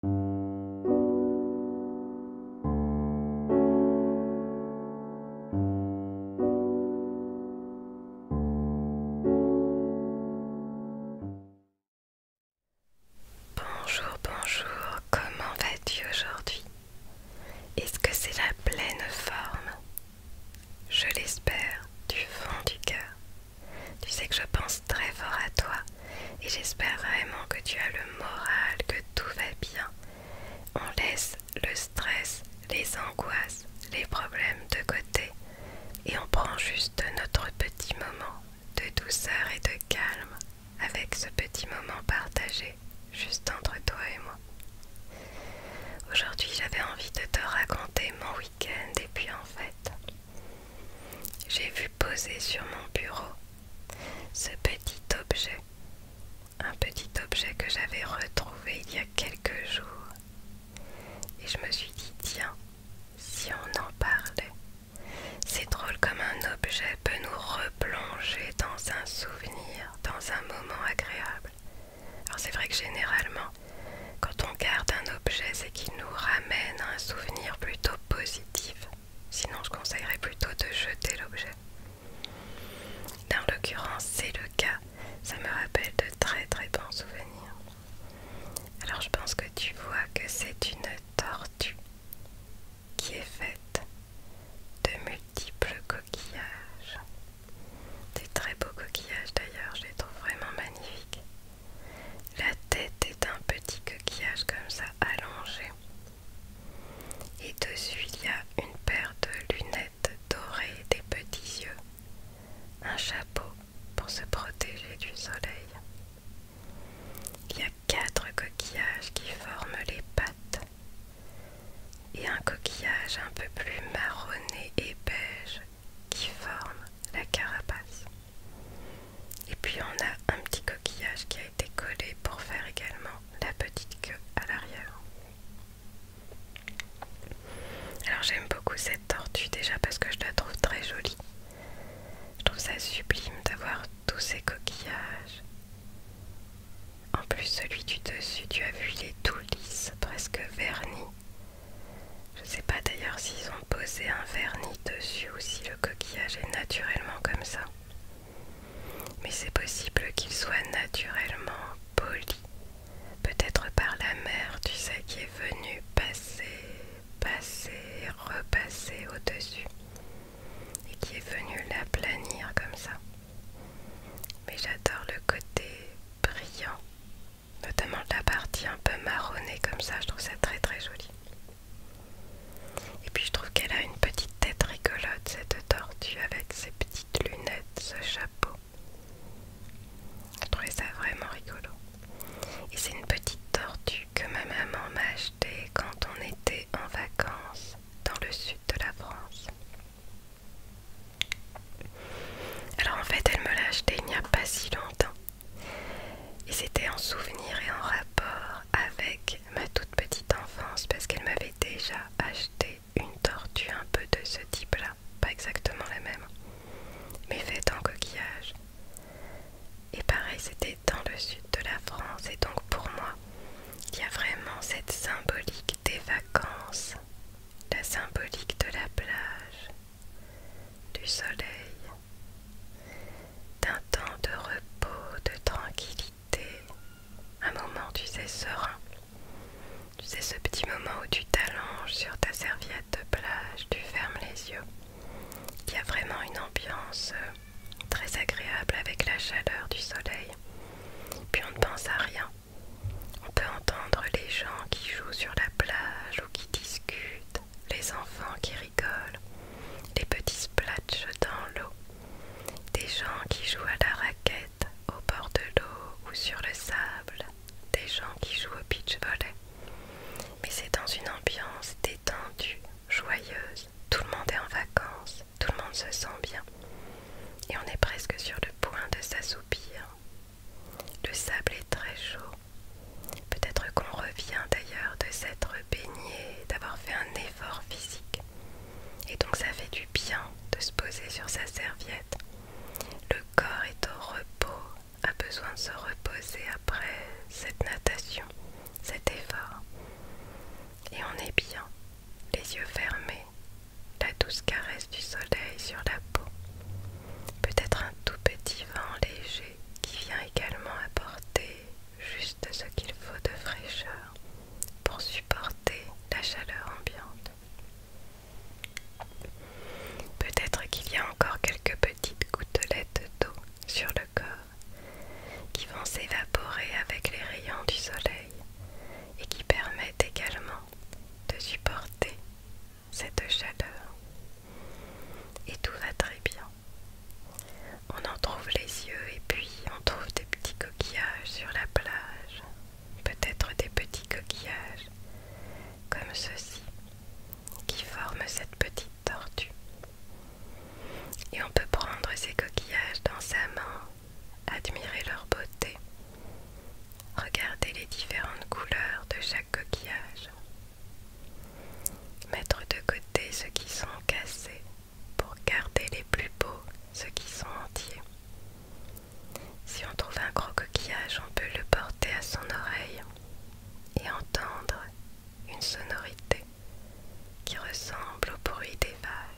Bonjour, bonjour, comment vas-tu aujourd'hui Est-ce que c'est la pleine forme Je l'espère du fond du cœur. Tu sais que je pense très fort à toi et j'espère vraiment que tu as le moral, que tout va bien. On laisse le stress, les angoisses, les problèmes de côté et on prend juste notre petit moment de douceur et de calme avec ce petit moment partagé juste entre toi et moi. Aujourd'hui j'avais envie de te raconter mon week-end et puis en fait j'ai vu poser sur mon bureau ce petit objet, un petit objet que j'avais retrouvé il y a quelques jours. Et je me suis dit, tiens, si on en parlait, c'est drôle comme un objet peut nous replonger dans un souvenir, dans un moment agréable. Alors c'est vrai que généralement, quand on garde un c'est qu'il nous ramène un souvenir plutôt positif. Sinon, je conseillerais plutôt de jeter l'objet. Dans l'occurrence, c'est le cas. Ça me rappelle de très très bons souvenirs. Alors, je pense que tu vois que c'est une tortue qui est faite de multiples coquillages. Des très beaux coquillages d'ailleurs, je les trouve vraiment magnifiques. La tête est un petit coquillage comme ça allongé. Et dessus il y a une paire de lunettes dorées des petits yeux. Un chapeau pour se protéger du soleil. Il y a quatre coquillages qui forment les pattes. Et un coquillage un peu plus marronné et beige qui forme la carapace. Et puis on a un petit coquillage qui a été collé pour faire également la petite queue à l'arrière. Alors j'aime beaucoup cette tortue déjà parce que je la trouve très jolie. Je trouve ça sublime d'avoir tous ces coquillages. En plus celui du dessus, tu as vu, il est tout lisse, presque verni. Je ne sais pas d'ailleurs s'ils ont posé un vernis dessus ou si le coquillage est naturellement comme ça. Mais c'est possible qu'il soit naturellement poli. Peut-être par la mer, tu sais, qui est venu passer, passer, repasser au-dessus. Et qui est venue l'aplanir comme ça. Mais j'adore le côté brillant notamment la partie un peu marronnée comme ça, je trouve ça très très joli. Et puis je trouve qu'elle a une petite tête rigolote, cette tortue, avec ses petites lunettes, ce chapeau. Je trouvais ça vraiment rigolo. Et c'est une petite tortue que ma maman m'a achetée quand on était en vacances dans le sud de la France. Alors en fait, elle me l'a acheté il n'y a pas si longtemps. Et c'était en souvenir et en rapport avec ma toute petite enfance parce qu'elle m'avait déjà acheté une tortue un peu de ce type-là. Pas exactement la même, mais faite en coquillage. Et pareil, c'était dans le sud de la France. Et donc pour moi, il y a vraiment cette symbolique des vacances, la symbolique de la plage, du soleil, d'un temps de repos, de tranquillité, un moment, tu sais, serein. Tu sais, ce petit moment où tu t'allonges sur ta serviette de plage, tu fermes les yeux. Il y a vraiment une ambiance euh, très agréable avec la chaleur du soleil. Puis on ne pense à rien. On peut entendre les gens qui jouent sur la plage ou qui discutent, les enfants qui rigolent, les petits splats dans l'eau, des gens qui jouent à la raquette au bord de l'eau ou sur le sable, des gens qui jouent au pitch volley. Mais c'est dans une ambiance détendue, joyeuse, tout le monde est en vacances, tout le monde se sent bien. Et on est presque sur le point de s'assoupir, le sable est très chaud. Peut-être qu'on revient d'ailleurs de s'être baigné, d'avoir fait un effort physique. Et donc ça fait du bien de se poser sur sa serviette. Le corps est au repos, a besoin de se reposer après cette natation, cet effort. Et on est bien, les yeux fermés, la douce caresse du soleil sur la peau, peut-être un tout petit vent léger qui vient également apporter juste ce qu'il faut de fraîcheur pour supporter la chaleur ambiante. Peut-être qu'il y a encore quelques petites gouttelettes d'eau sur le corps qui vont s'évaporer avec les rayons du soleil et qui permettent également de supporter cette chaleur et tout va très bien. On en trouve les yeux et puis on trouve des petits coquillages sur la plage, peut-être des petits coquillages comme ceci qui forment cette petite tortue. Et on peut prendre ces coquillages dans sa main admirer leur beauté, regardez les différentes couleurs de chaque coquillage, mettre de côté ceux qui sont cassés pour garder les plus beaux, ceux qui sont entiers. Si on trouve un gros coquillage, on peut le porter à son oreille et entendre une sonorité qui ressemble au bruit des vagues.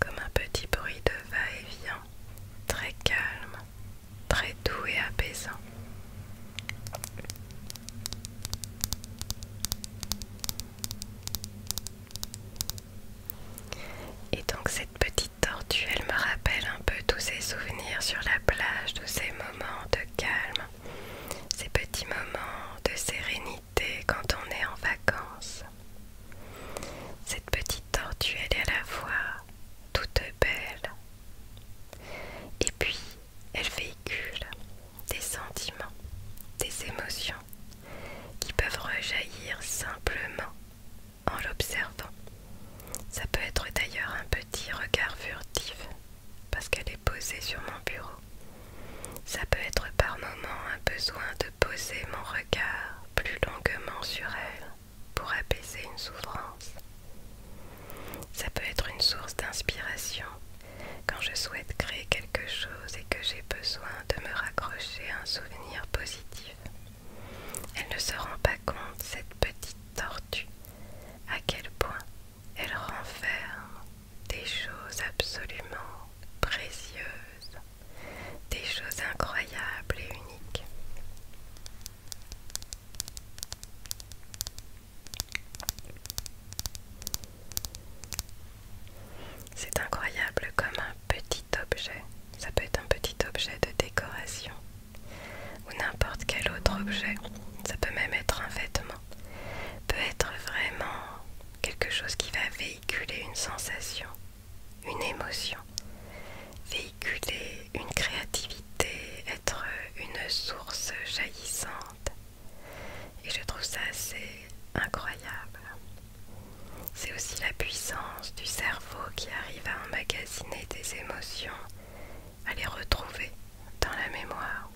comme un petit bruit de va-et-vient, très calme, très doux et apaisant. Et donc cette petite tortue, elle me rappelle un peu tous ces souvenirs sur la plage, tous ces moments de calme, ces petits moments de sérénité quand on est en vacances. Cette petite tortue, elle est à la fois toute belle et puis elle véhicule des sentiments, des émotions qui peuvent rejaillir simplement en l'observant. Ça peut être d'ailleurs un petit regard furtif parce qu'elle est posée sur mon bureau. Ça peut être par moments un besoin de poser mon regard plus longuement sur elle pour apaiser une souffrance. Ça peut être une source d'inspiration quand je souhaite créer quelque chose et que j'ai besoin de me raccrocher à un souvenir positif. Elle ne se rend pas compte, cette petite tortue, à quel point elle renferme des choses absolument précieuses des choses incroyables et uniques. C'est incroyable comme un petit objet. Ça peut être un petit objet de décoration ou n'importe quel autre objet. Ça peut même être un vêtement. Peut être vraiment quelque chose qui va véhiculer une sensation une émotion, véhiculer une créativité, être une source jaillissante. Et je trouve ça assez incroyable. C'est aussi la puissance du cerveau qui arrive à emmagasiner des émotions, à les retrouver dans la mémoire.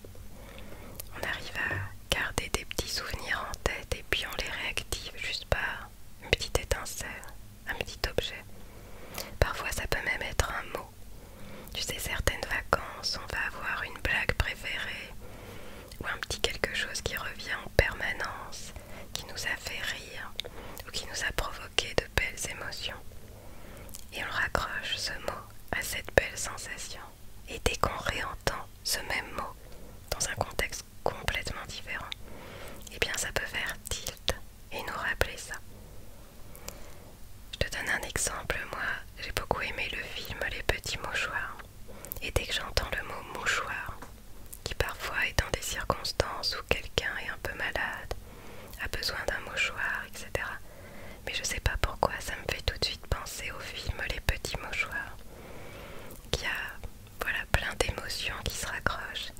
On arrive à garder des petits souvenirs en tête puis on les réactive juste par une petite étincelle, un petit objet. Parfois ça peut même être un mot. Tu sais, certaines vacances, on va avoir une blague préférée ou un petit quelque chose qui revient en permanence, qui nous a fait rire ou qui nous a provoqué de belles émotions. Et on raccroche ce mot à cette belle sensation. Et dès qu'on réentend ce même mot dans un contexte complètement différent, et eh bien ça peut faire tilt et nous rappeler ça. Je te donne un exemple, moi j'ai beaucoup aimé le film Les Petits Mouchoirs, et dès que j'entends le mot mouchoir, qui parfois est dans des circonstances où quelqu'un est un peu malade, a besoin d'un mouchoir, etc. Mais je ne sais pas pourquoi, ça me fait tout de suite penser au film Les Petits Mouchoirs qu'il y a voilà, plein d'émotions qui se raccrochent.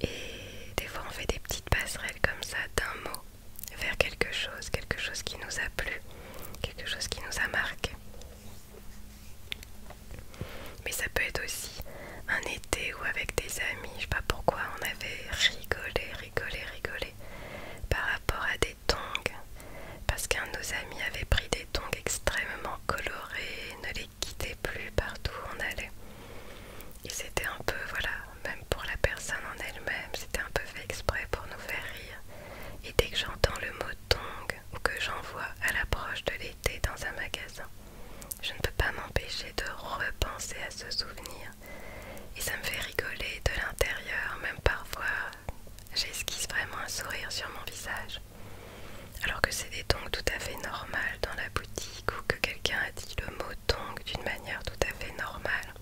Et des fois, on fait des petites passerelles comme ça d'un mot vers quelque chose, quelque chose qui nous a plu, quelque chose qui nous a marqué. Mais ça peut être aussi un été ou avec des amis, je sais pas pourquoi, on avait rigolé, rigolé, rigolé par rapport à des tong parce qu'un de nos amis avait pris des tongs extrêmement colorés, ne les quittait plus partout où on allait. Et c'était un peu, voilà, même pour la personne en elle-même, c'était un peu fait exprès pour nous faire rire. Et dès que j'entends le mot tong ou que j'en vois à l'approche de l'été dans un magasin, je ne peux pas m'empêcher de repenser à ce souvenir. Et ça me fait rigoler de l'intérieur, même parfois j'esquisse vraiment un sourire sur mon visage. Alors que c'est des tongs tout à fait normal dans la boutique ou que quelqu'un a dit le mot tongue d'une manière tout à fait normale,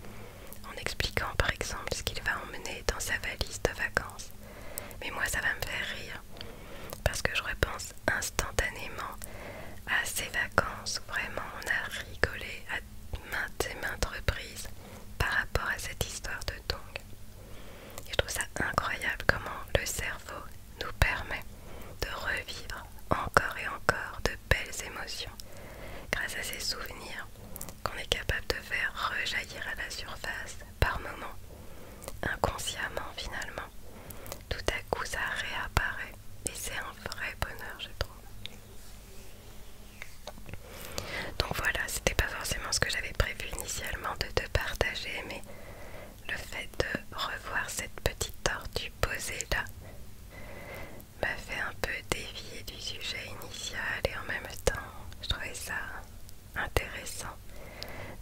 en expliquant par exemple ce qu'il va emmener dans sa valise de vacances. Mais moi ça va me faire rire, parce que je repense instantanément à ces vacances où vraiment on a rigolé à maintes et maintes reprises par rapport à cette histoire de dong, je trouve ça incroyable comment le cerveau nous permet de revivre encore et encore de belles émotions grâce à ces souvenirs qu'on est capable de faire rejaillir à la surface par moments, inconsciemment finalement. Tout à coup ça réapparaît et c'est un vrai bonheur je trouve. Donc voilà, c'était pas forcément ce que j'avais prévu initialement de te partager, mais le fait de revoir cette petite tortue posée là m'a fait un peu dévier du sujet initial et en même temps, je trouvais ça intéressant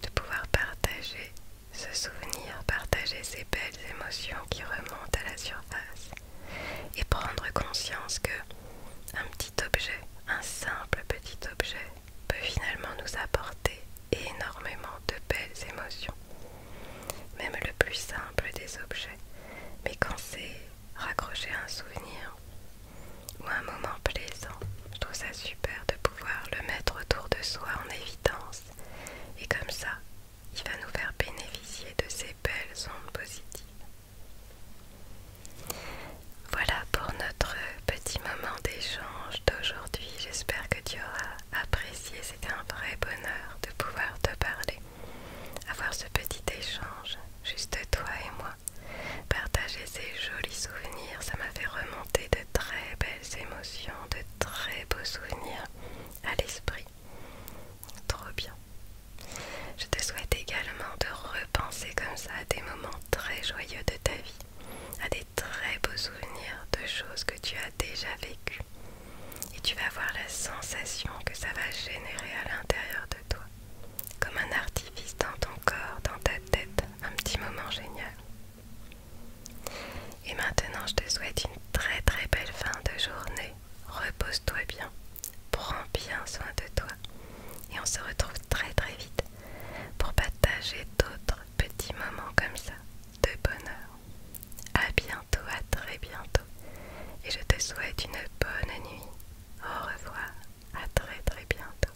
de pouvoir partager ce souvenir, partager ces belles émotions qui remontent à la surface et prendre conscience que un petit objet, un simple petit objet, peut finalement nous apporter énormément de belles émotions. Même le plus simple des objets. Mais quand c'est raccrocher un souvenir ou un moment plaisant, je trouve ça super de pouvoir le mettre autour de soi en évidence. Et comme ça, il va nous faire bénéficier de ces belles ondes positives. Voilà pour notre petit moment d'échange d'aujourd'hui. J'espère que tu auras apprécié. c'est un vrai bonheur de pouvoir te parler, avoir ce petit échange, juste toi et moi. Partager ces jolis souvenirs, ça m'a fait remonter de très belles émotions, de très beaux souvenirs à l'esprit. Trop bien. Je te souhaite également de repenser comme ça à des moments très joyeux de ta vie, à des très beaux souvenirs de choses que tu as déjà vécues. Et tu vas voir la sensation que ça va générer à l'intérieur de toi, comme un artifice dans ton corps, dans ta tête, un petit moment génial. Et maintenant, je te souhaite une très très belle fin de journée repose-toi bien, prends bien soin de toi et on se retrouve très très vite pour partager d'autres petits moments comme ça de bonheur. À bientôt, à très bientôt et je te souhaite une bonne nuit. Au revoir, à très très bientôt.